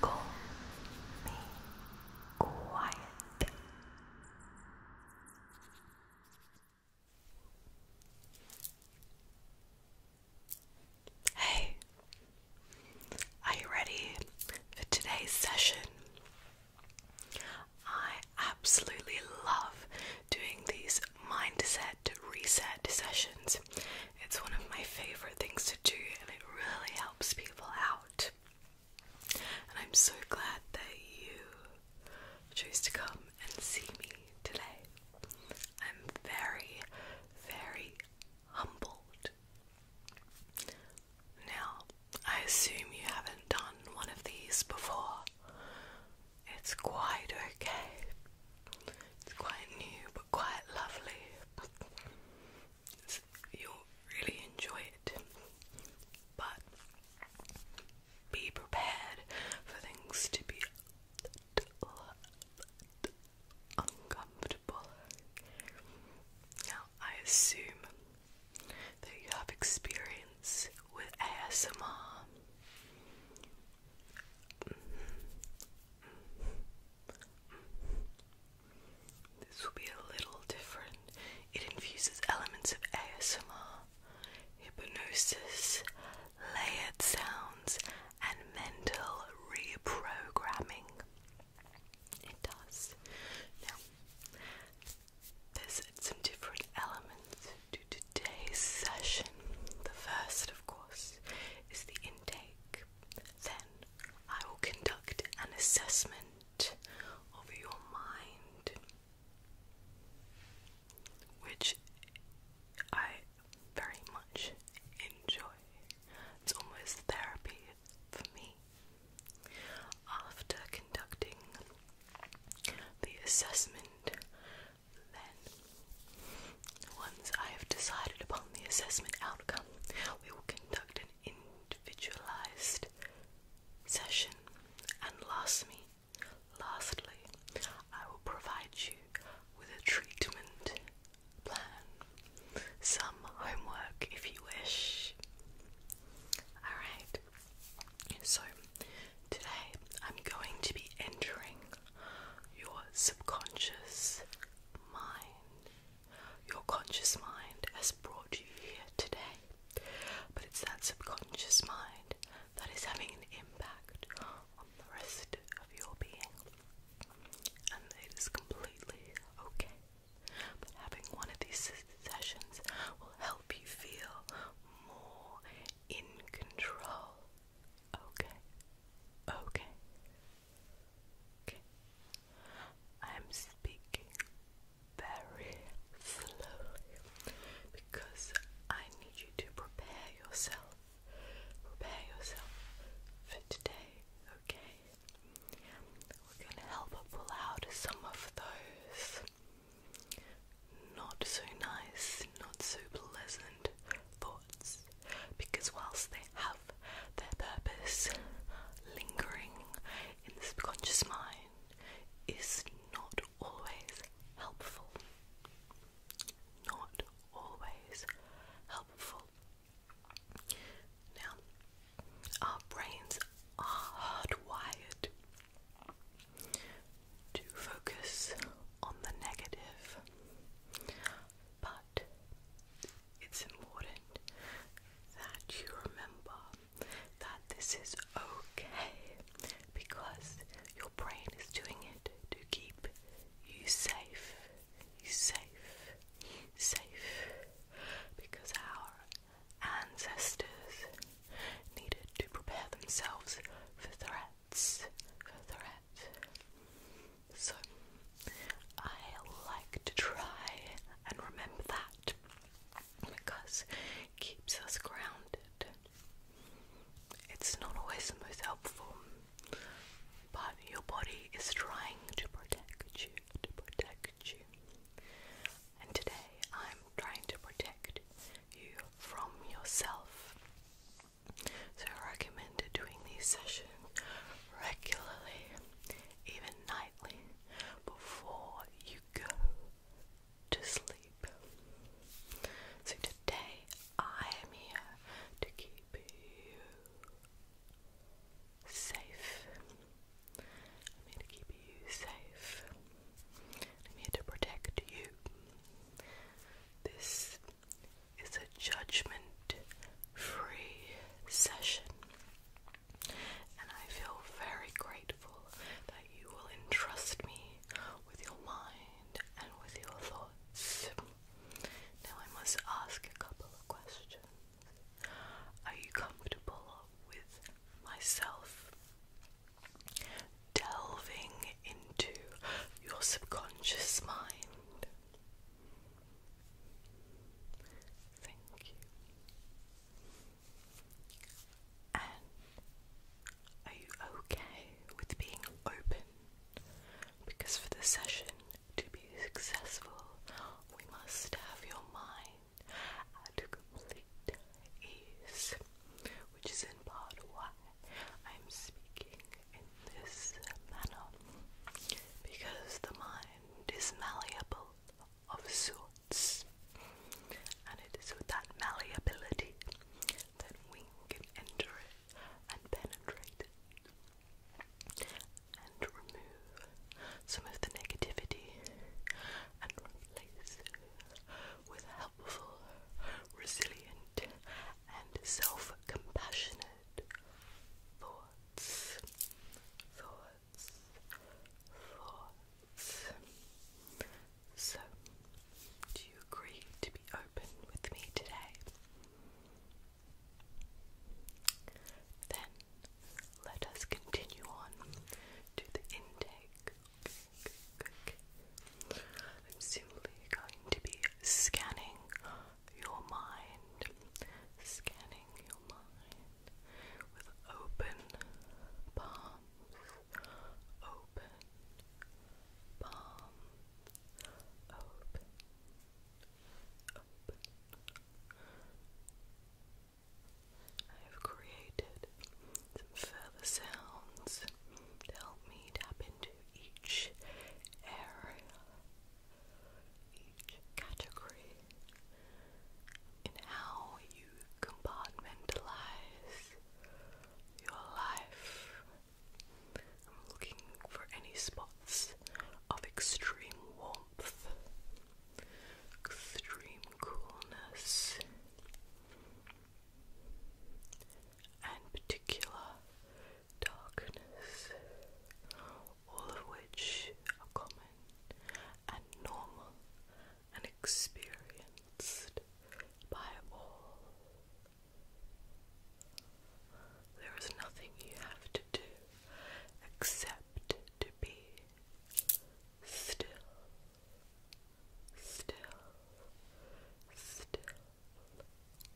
Go be quiet. Hey, are you ready for today's session? I absolutely love doing these mindset reset sessions. It's one of my favorite things to do, and it really helps people out. And I'm so glad that you chose to come and see me today. I'm very, very humbled. Now, I assume you haven't done one of these before. It's quite okay. It's quite new, quite lovely. you'll really enjoy it, but be prepared for things to be uncomfortable. Now, I assume that you have experience with ASMR. This will be a little different. It infuses elements of ASMR, hypnosis, layered sounds, and mental reprogramming. It does. Now, there's some different elements to today's session. The first, of course, is the take, then I will conduct an assessment of your mind, which I very much enjoy. It's almost therapy for me. After conducting the assessment, then, once I have decided upon the assessment outcome, we will conduct an individualized session. And lastly, lastly, I will provide you with a treatment plan, some homework if you wish. Alright, so today I'm going to be entering your subconscious mind. Your conscious mind has brought you here today, but it's that subconscious mind that is having an impact on the rest of your being. And it is completely okay. But having one of these sessions will help you feel more in control Okay. Okay. I'm speaking very slowly because I need you to prepare yourself. Prepare yourself for today, okay? We're gonna help her pull out some of those not so nice, not so pleasant thoughts because whilst they have their purpose lingering in the subconscious mind is not always helpful not always helpful now our brains are hardwired to focus on the negative but it's important that you remember that this is okay because your brain is doing it to keep you safe. safe, safe because our ancestors needed to prepare themselves for threats, for threats. So I like to try and remember that because it keeps us grounded. It's not always the most helpful, but your body is trying to protect you, to protect you. And today I'm trying to protect you from yourself. So I recommend doing these sessions regularly, even nightly, before you go to sleep. So today I am here to keep you safe. I'm here to keep you safe. I'm here to protect you. This it's a judgment free session. And I feel very grateful that you will entrust me with your mind and with your thoughts. Now, I must ask a couple of questions. Are you comfortable with myself delving into your subconscious mind? Thank you. And are you okay with being open? Because for the session to be successful, we must have your mind at complete ease, which is in part why I'm speaking in this manner because the mind is malleable of sorts and it is with that malleability that we can enter it and penetrate it and remove some of the negativity and replace with helpful, resilient and self-compassionate thoughts, thoughts, thoughts. So, do you agree to be open with me today? Then let us continue on to the intake. I'm simply going to be scanning your mind, scanning your mind with open palms, open palm, open, I have created some further sounds to help me tap into each area each category in how you compartmentalize your life. I'm looking for any spots of extreme warmth, extreme coolness, and particular darkness, all of which are common and normal and experienced by all. There is nothing you have to do except to be still, still, still.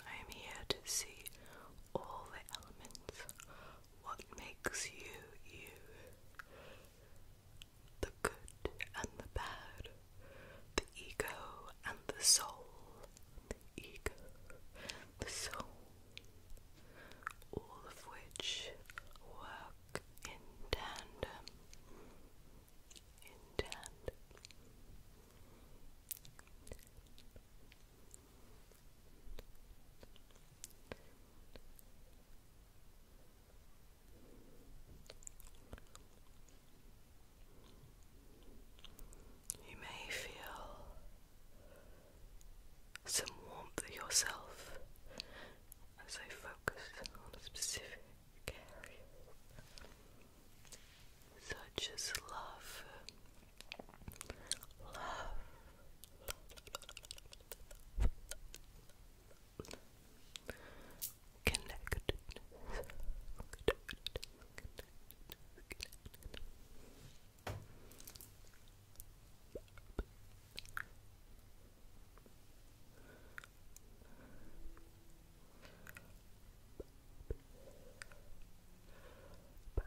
I am here to see all the elements. What makes you you? The good and the bad, the ego and the soul, the ego, the soul, all of which work in tandem. In tandem. You may feel some warmth yourself as I focus on a specific area such as love, love, love,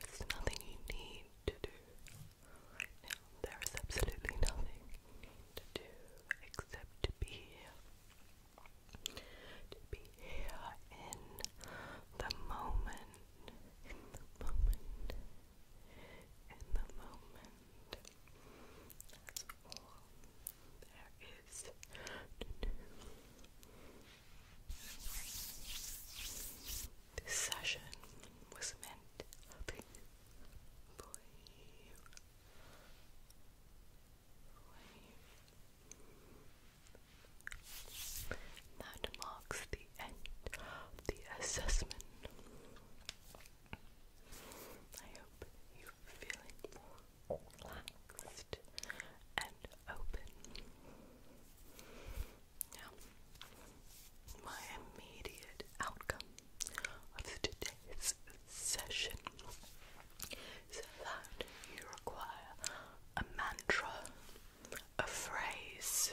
There's nothing you need to do right now. There is absolutely nothing you need to do except to be here. To be here in the moment. In the moment. In the moment. That's all this session was meant for you. That marks the end of the assessment. I hope you're feeling more relaxed and open. Now, my immediate outcome of today's session is that you require a mantra, a phrase,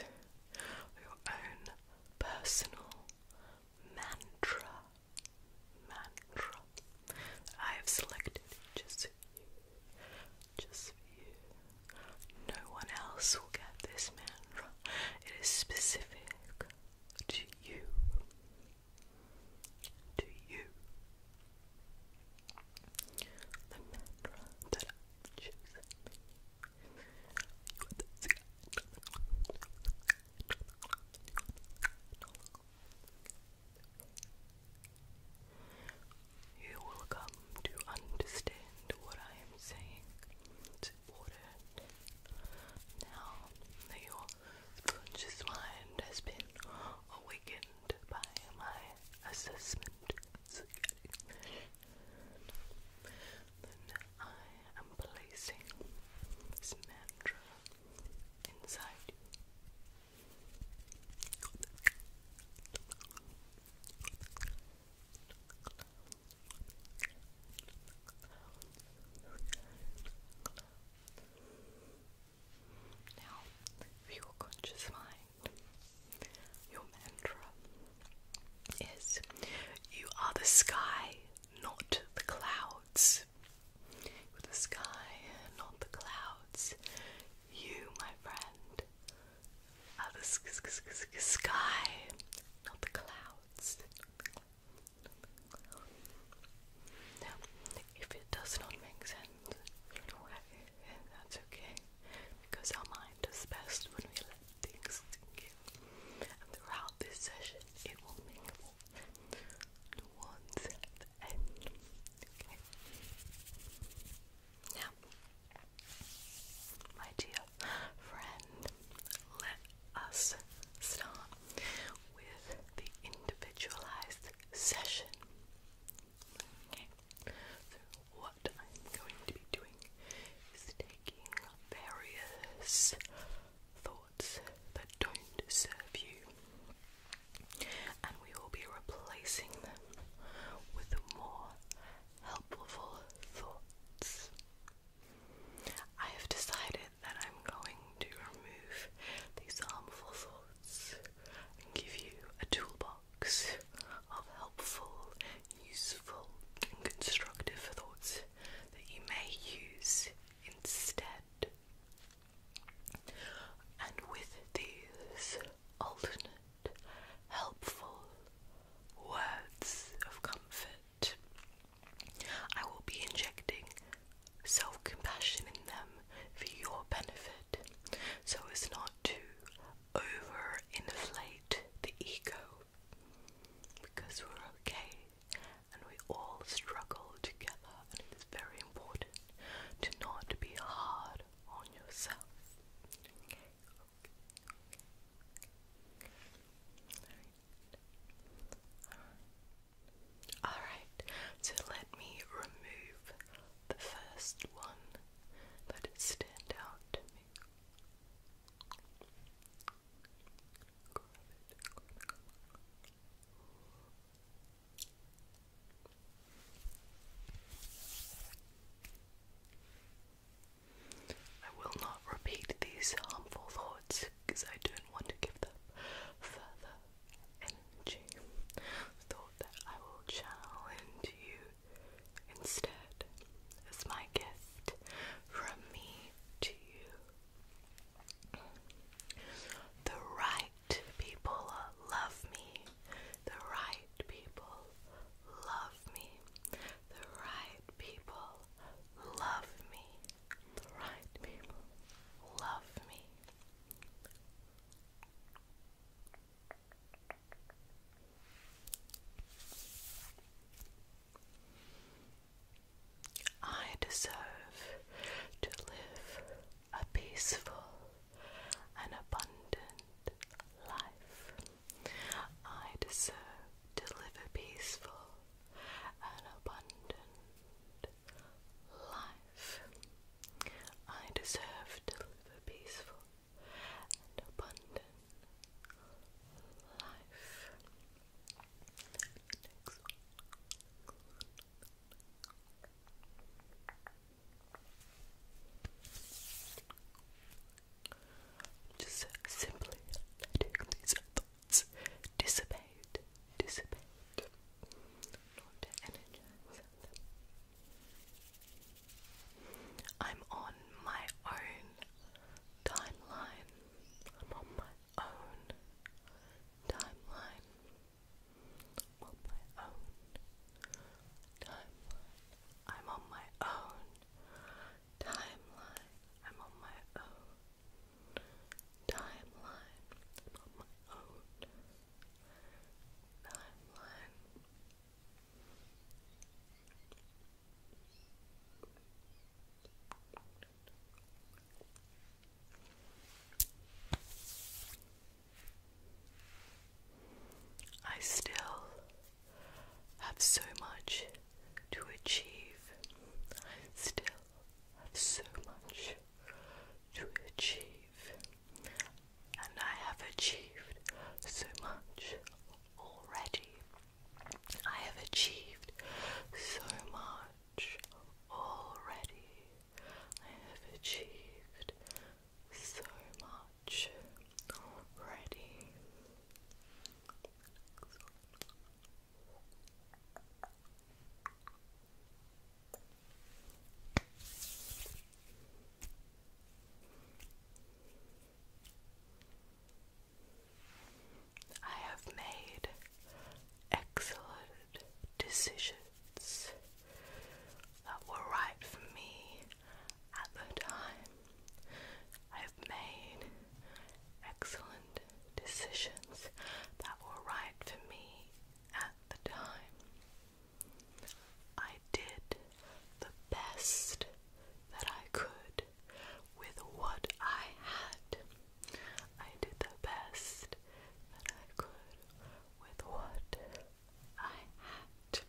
your own personal mantra mantra I have selected just you. Just you. No one else will get this mantra. It is specific to you. To you. The mantra that I've You you will come to understand what I am saying. Now that your conscious mind has been awakened by my assessment, then I am placing mantra inside you. Now, your conscious mind, your mantra is You are the sky, not the clouds with the sky, not the clouds. You, my friend, are the sky, not the clouds. if it does not make sense, that's okay, because our mind does best when we let things sink in. And throughout this session, it will make more towards end. Okay. Now, my dear friend, let us start with the individualized session. Okay. So, what I'm going to be doing is taking various thoughts that don't serve you, and we will be replacing them with more helpful thoughts. I have decided that I'm going to remove these harmful thoughts and give you a toolbox of helpful, useful, and constructive thoughts that you may use instead. And with these alternate, helpful words of comfort, I will be injecting self compassion in them for your benefit so as not to over-inflate the ego because we're okay and we all struggle together it is very important to not be hard on yourself. Alright, so let me remove the first one, let stand out I will not repeat these harmful thoughts because I don't want to give them further energy. Thought that I will channel into you instead as my gift from me to you. The right people love me. The right people love me. The right people love me. The right people love me. I deserve to live a peaceful and abundant life. I deserve to live a peaceful and abundant life. I deserve to live a peaceful and abundant life. Just simply letting these thoughts dissipate, dissipate, I'm on my own timeline. I'm on my own timeline. I'm on my own timeline. I'm on my own timeline. I'm on my own timeline. I'm on my own timeline. I still have so much to achieve. I still have so much to achieve. And I have achieved so much already. I have achieved so much already. I have achieved so much already. I have made excellent decisions that were right for me at the time. I've made excellent decisions that were right for me at the time. I did the best that I could with what I had. I did the best that I could with what I oh, had.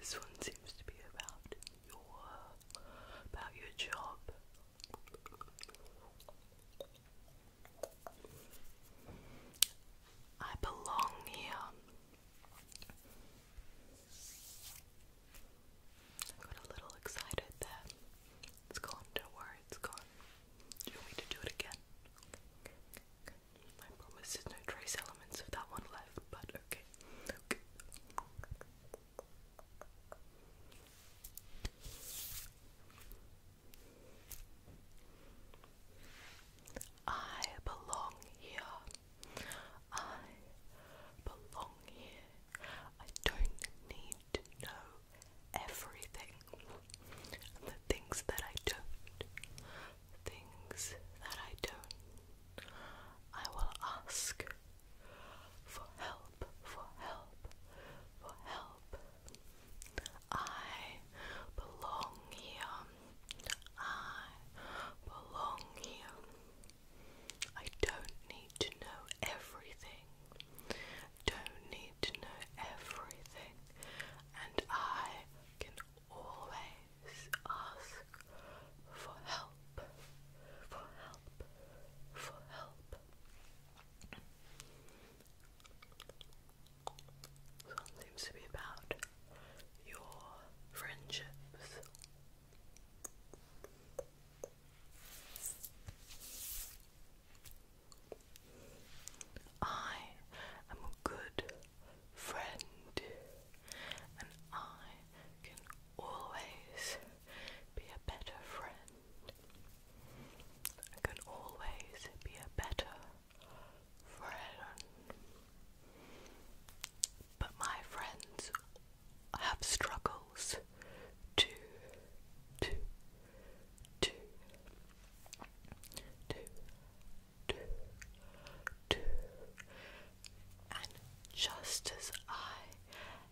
this one seems to be about your about your job. I belong here. I got a little excited that it's gone, don't worry, it's gone. Do you want me to do it again? Okay, promise there's no trace elements of that one left, but okay. okay. I belong here. I belong here. I don't need to know everything. the things that I don't, things that I don't, I will ask for help, for help, for help. I belong here. I belong here. I don't need to know everything. Don't need to know everything. And I can always ask for help. For help. For help. This one seems to be about your friendships. I am a good friend, and I can always be a better friend. I can always be a better friend. But my friends have struggles two, two, two, two, two, two, and just as I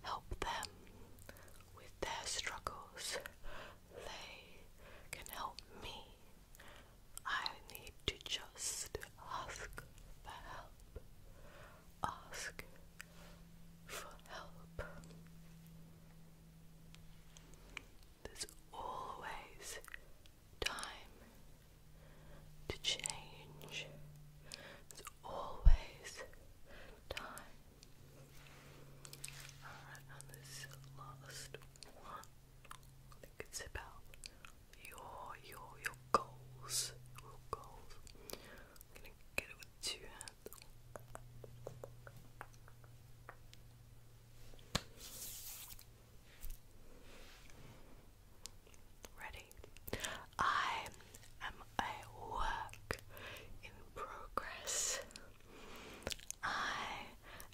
help them with their struggles, they can help me. I need to just ask for help. Ask for help. There's always time to change. There's always time. Alright, and this last one. think about your your your goals. Your goals. I'm gonna get it with two hands. Ready? I am a work in progress. I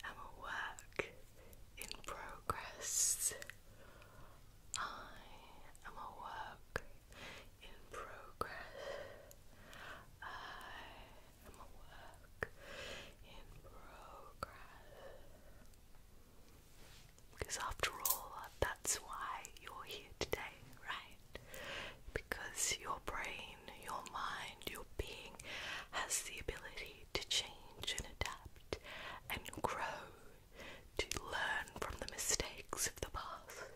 am a work in progress. I am a work in progress. I am a work in progress. Because after all, that's why you're here today, right? Because your brain, your mind, your being has the ability to change and adapt and grow, to learn from the mistakes of the past,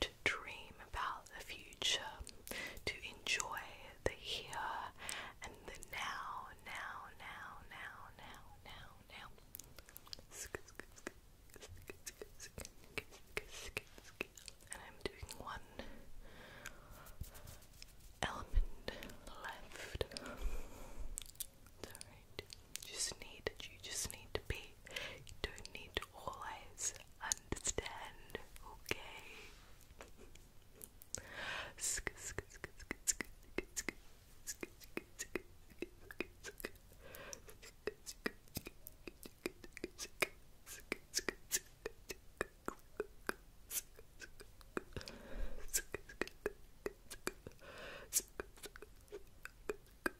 to dream about the future, to enjoy the here and the now, now, now, now, now, now, now. And I'm doing one element left. alright. just need you just need to be. don't need to always understand, okay?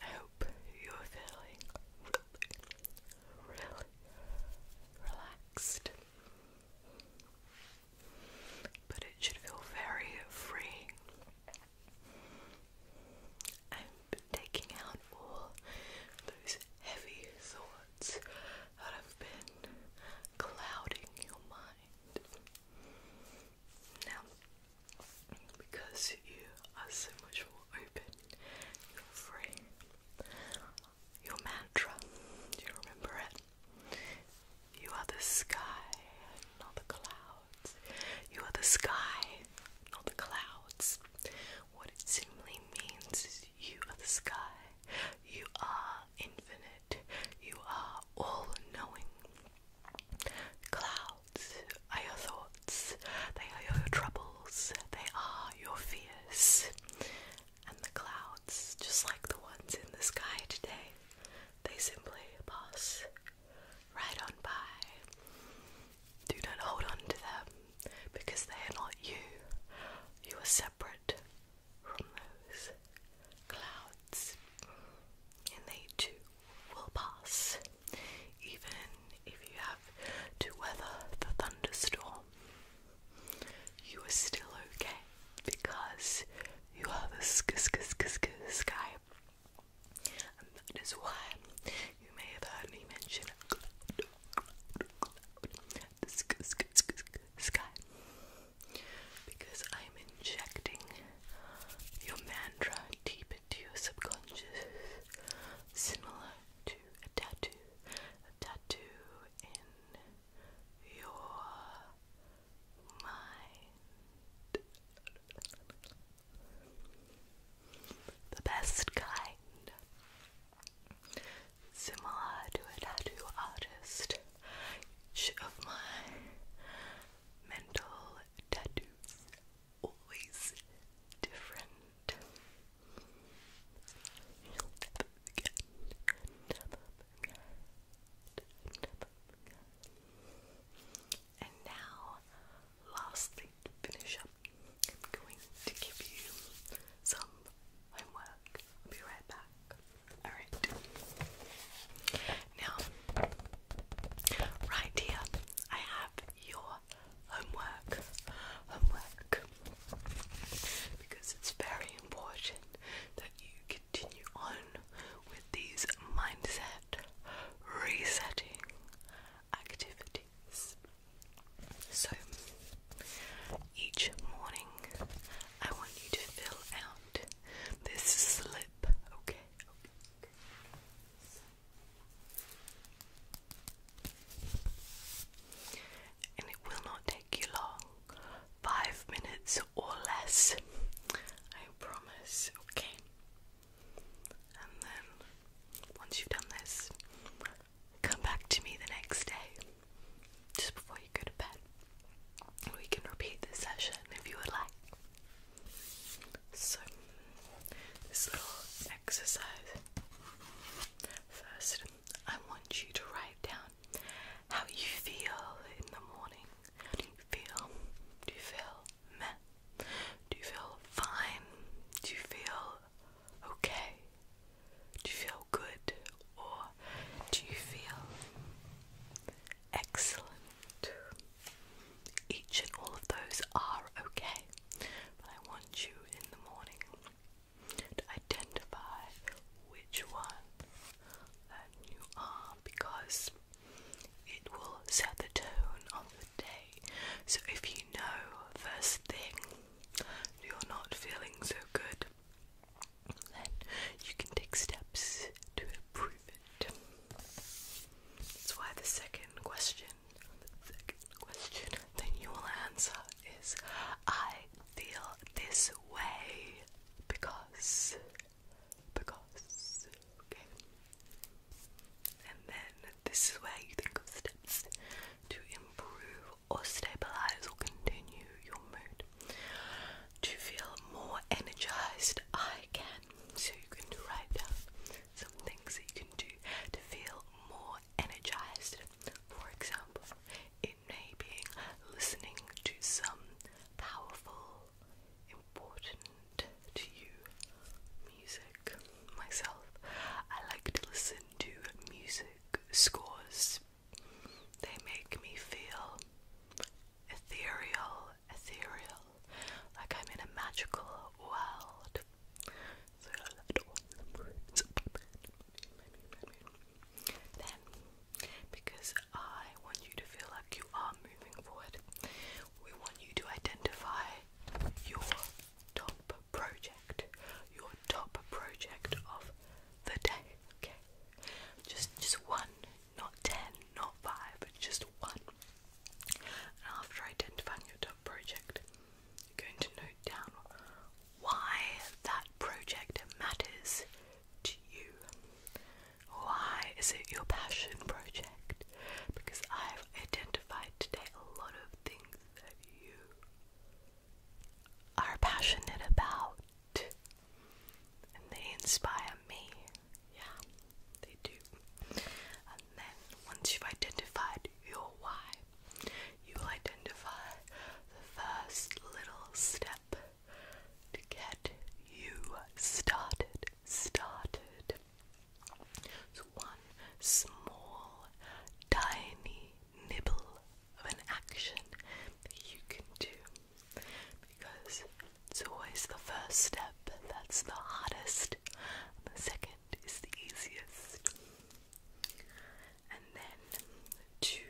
I hope you're feeling really, relaxed. But it should feel very free. I'm taking out all those heavy thoughts that have been clouding your mind. Now, because you are so much more open, you're free. Your mantra, you remember it? You are the sky, not the clouds. You are the sky, not the clouds. What it simply means is you are the sky. You are infinite. You are all knowing. Clouds are your thoughts, they are your troubles, they are your fears. And the clouds, just like the ones in the sky today, they simply pass right on by. Do not hold on to them because they are not you. You are separate from those clouds, and they too will pass. Even if you have to weather the thunderstorm, you are still okay because you have a sk sk sk sk sky. And that is why you may have heard me mention cloud, cloud, cloud, the sk sk sk sk sky. Because I'm injecting your mantra deep into your subconscious, similar to a tattoo. A tattoo in your mind. The best kind. Similar to a tattoo artist, of my mental tattoos always different. you And now, lastly, to finish up, I'm going to give you some homework. I'll be right back. Alright. Now, right here, I have your homework. Homework. Because it's very important that you continue on with these mindset resetting activities. So, each morning I want you to fill out this slip, okay? And it will not take you long five minutes or less, I promise. Okay, and then once you've done this, come back to me the next day just before you go to bed. We can repeat this session if you would like. So, this little exercise. First, I want you to write down how you feel in the morning. do you feel? Do you feel meh? Do you feel fine? Do you feel okay? Do you feel good? Or do you feel excellent? Each and all of those are okay, but I want you in the morning to identify which one that you are because it will set the tone of the day. So if you know first thing you're not feeling so good, then you can take steps to improve it. That's why the second question, the second question that you will answer is I feel this way because, because, okay? And then this is where you think of steps to improve or stabilize or continue your mood. To feel more energized, I can. So you can write down some things that you can do to feel more energized. For example, it may be listening to some powerful, important to you music. Myself, I like to listen to music scores. They make me feel ethereal ethereal, like I'm in a magical world. So that was Then, because I want you to feel like you are moving forward, we want you to identify your top project, your top project of the day. Okay, just just one, not ten, not five, just one. And after identifying your top project, you're going to note down why that project matters to you. Why is it your passion project? Because I've identified today a lot of things that you are passionate about and they inspire me. Yeah, they do. And then once you've identified your why, you'll identify the first little step to get you started. Started. So one small, tiny nibble of an action that you can do because it's always the first step that's the hardest, the second is the easiest. And then two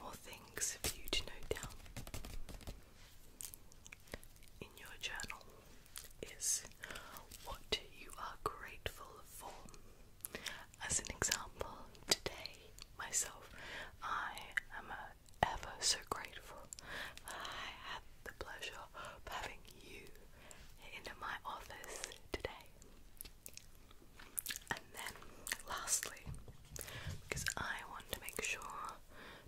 more things for you to note down in your journal is what you are grateful for. As an example, today myself, I am uh, ever so grateful that I had the pleasure of having you in my office today. And then, lastly, because I want to make sure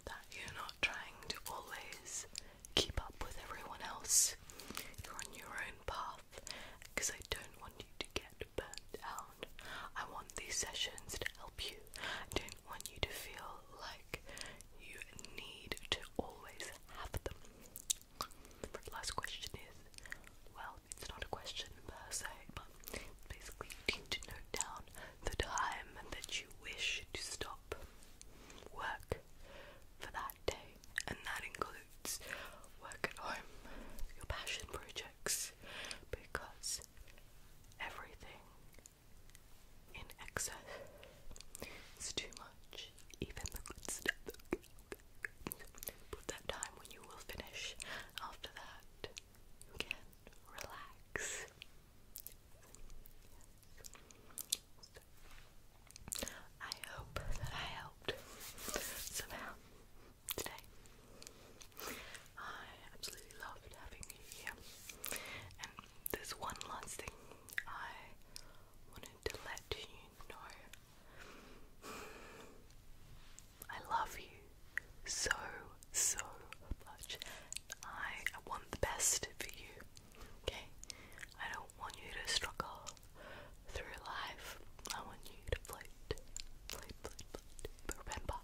that you're not trying to always keep up with everyone else, you're on your own path, because I don't want you to get burnt out. I want these sessions to help you. I don't want you to feel like you need to always have them. The last question is well, it's not a question per se, but basically you need to note down the time that you wish to stop work for that day, and that includes work at home, your passion projects, because everything in excess. It's too much, even the good stuff. Put that time when you will finish. After that, you can relax. I hope that I helped somehow today. I absolutely loved having you here, there's one last thing I wanted to let you know. I love you so, so much. I, want the best for you, okay? I don't want you to struggle through life. I want you to float, float, float, float. But remember,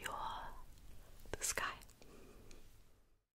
you are the sky.